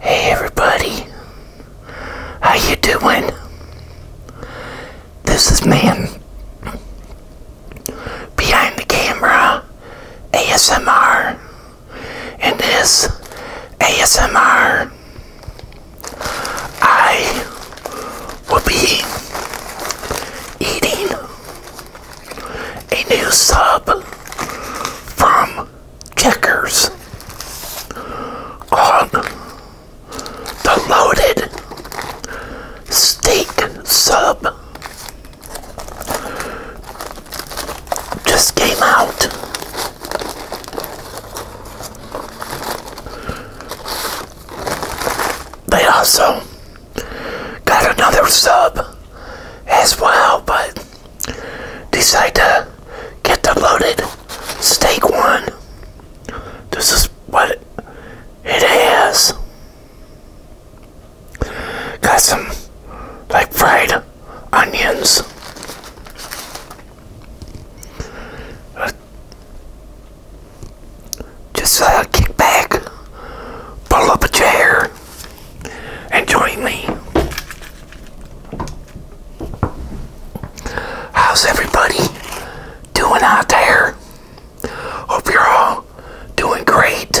Hey everybody, how you doing? This is man behind the camera ASMR, and this ASMR I will be eating a new sub from Checkers on the loaded steak sub just came out. They also got another sub as well, but decided to get the loaded steak one. This is what it has. Got some like fried onions just uh, kick back, pull up a chair, and join me. How's everybody doing out there? Hope you're all doing great.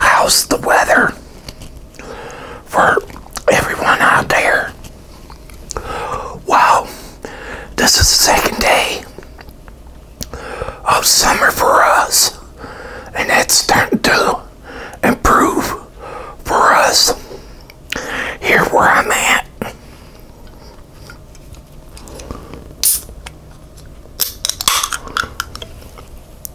How's the weather? for everyone out there. Wow, this is the second day of summer for us, and that's starting to improve for us here where I'm at.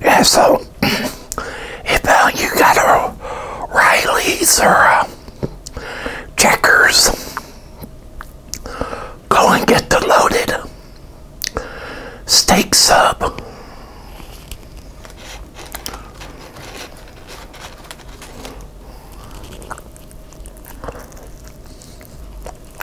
Yeah, so if uh, you got a Riley's or a Checkers, go and get the loaded steak sub.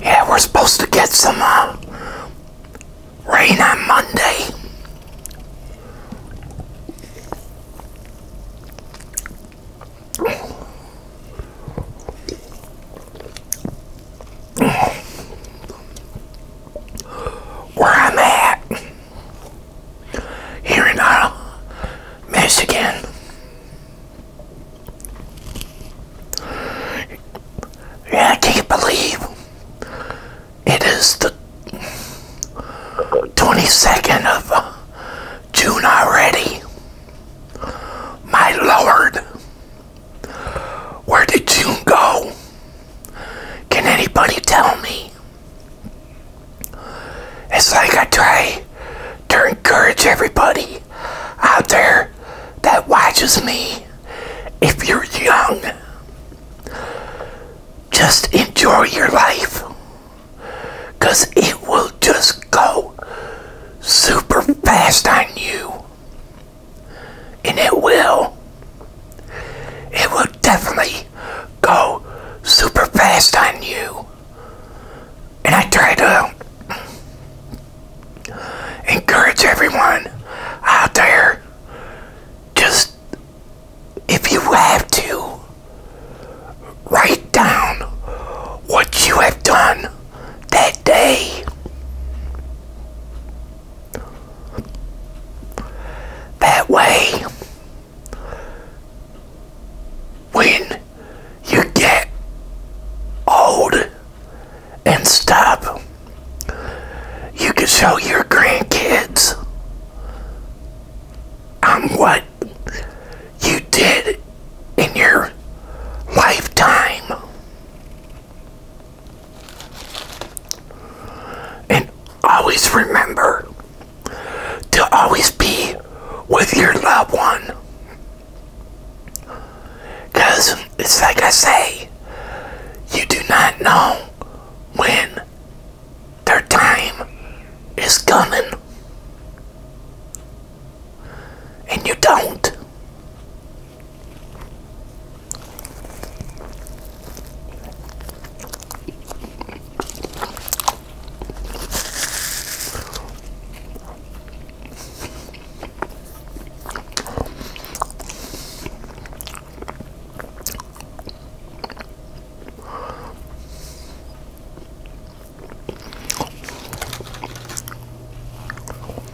Yeah, we're supposed to get some uh, rain on Monday where I'm at here in uh, Michigan. Yeah, I can't believe it is the 22nd of uh, June already. My Lord. Where did you go? Can anybody tell me? It's like I try to encourage everybody out there that watches me. If you're young, just enjoy your life. Because it will just go super fast on you and it will. It will definitely go super fast on you. And I try to encourage everyone out there just if you have to write down what you have done that day. That way, when you get old and stop, you can show your grandkids on um, what you did in your lifetime. And always remember to always be with your loved one. Because it's like I say, you do not know when their time is coming and you don't.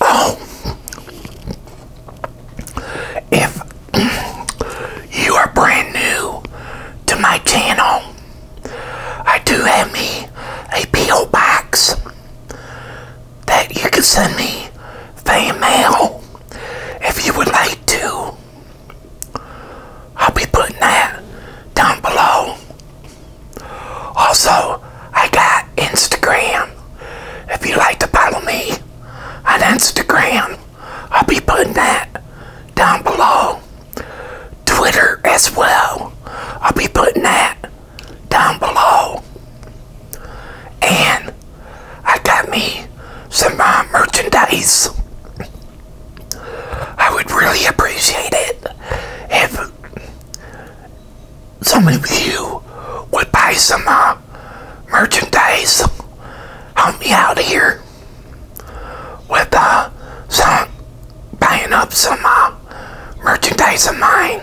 Oh, if you are brand new to my channel, I do have me a P.O. box that you can send me fan mail if you would like to. I'll be putting that down below. Also, I got Instagram. If you like to follow me on Instagram, I'll be putting that down below. Twitter as well. I'll be putting that down below. And I got me some uh, merchandise. I would really appreciate it if Somebody with you would buy some uh, merchandise. Help me out here with uh, some buying up some uh, merchandise of mine.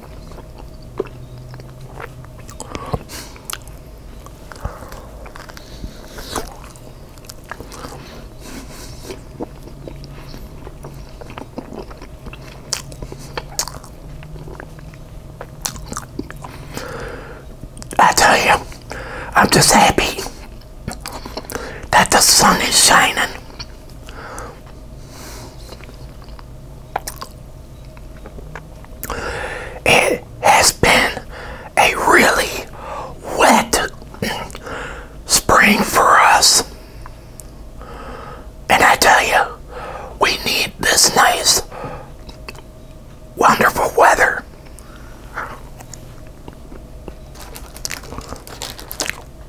I tell you, I'm just happy that the sun is shining. It has been a really wet spring for us. And I tell you, we need this nice, wonderful weather.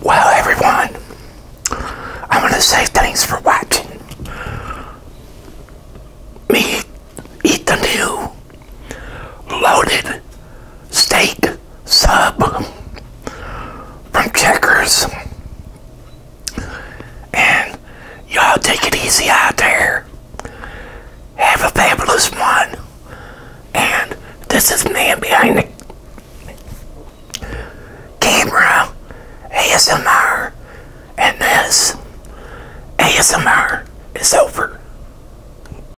Well, everyone, I want to say thanks for watching me eat the new loaded steak sub from Checkers. And y'all take it easy out there. Have a fabulous one. And this is man behind the camera ASMR. And this ASMR is over.